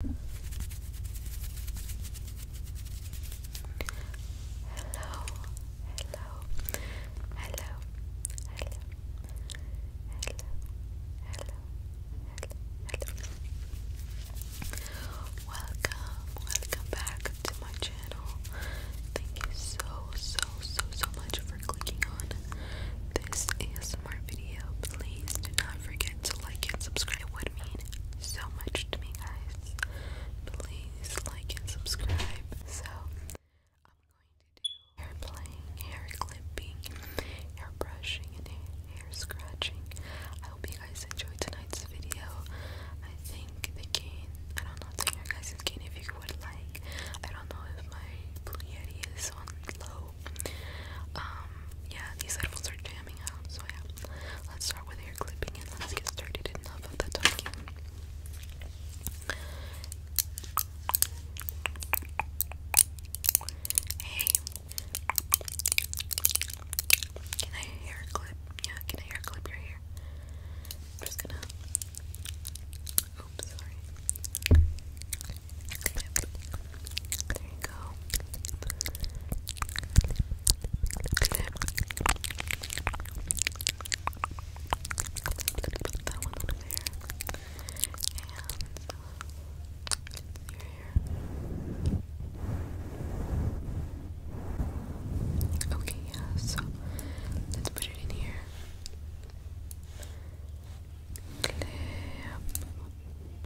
Hello, hello, hello, hello, hello, hello, hello, hello. Welcome, welcome back to my channel. Thank you so, so, so, so much for clicking on this ASMR ASMR video, please do not forget to like and subscribe. It would mean so much to me, guys. Please like and subscribe. So, I'm going to do hair playing, hair clipping, hair brushing, and hair scratching. I hope you guys enjoyed tonight's video. I think the gain, I don't know, tell your guys' gain if you would like. I don't know if my Blue is on low um, yeah, these headphones are jamming out, so yeah. Let's start with hair clipping and let's get started enough of the talking. Hey, can I hair clip? Yeah, can I hair clip your hair? I'm just gonna. Oops, sorry. There you go. that one over there. And your Okay, yeah, so let's put it in here. Clip.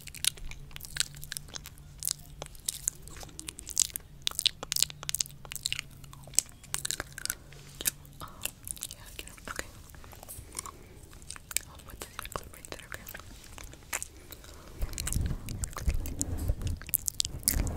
Oh, yeah, get him. Okay. I'll put this clip right there, okay? Okay, got it. Your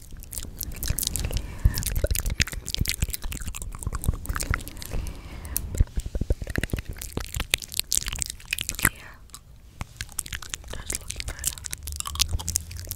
Yeah. That's looking better. I'm so sorry about that.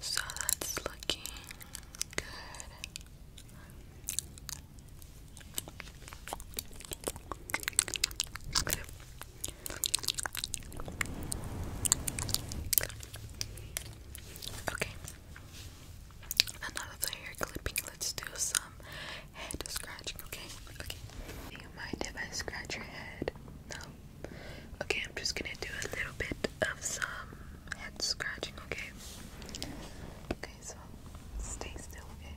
So that's looking good. Okay. Okay. Another hair clipping. Let's do some um, head scratching, okay? Okay. mind if I scratch your head? No. Okay, I'm just gonna do a little bit of some head scratching, okay? Okay, so stay still, Okay,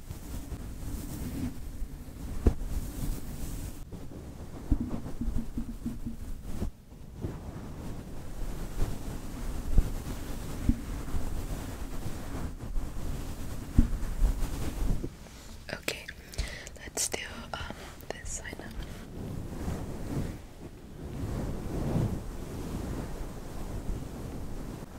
Okay, let's do um this side now.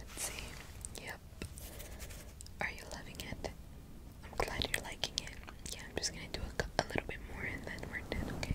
Let's see. Yep. Are you loving it? I'm glad you're liking it. Yeah, I'm just gonna do a, little bit more and then we're done, okay.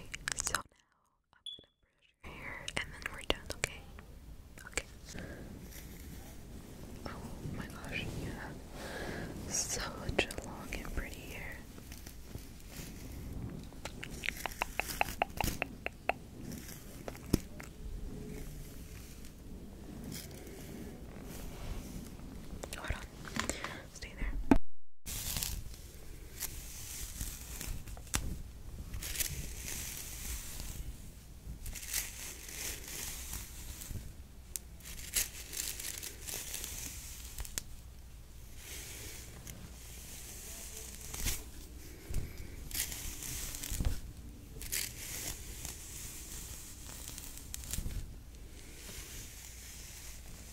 so now I'm gonna brush your hair and then we're done, okay? Okay. Oh my gosh, you long and pretty hair. Hold on, God. Stay there.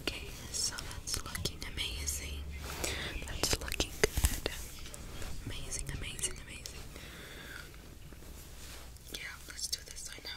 Okay, so that's looking amazing. That's looking good. Amazing, amazing, amazing. Yeah, let's do this right now.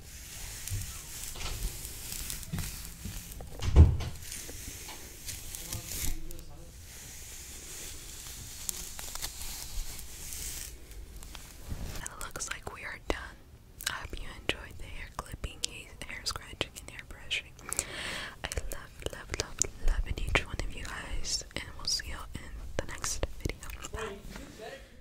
it looks like we are done. I hope you enjoyed the hair clipping, hair scratching, and hair brushing. I love, love, love, love each one of you guys, and we'll see you in the next video.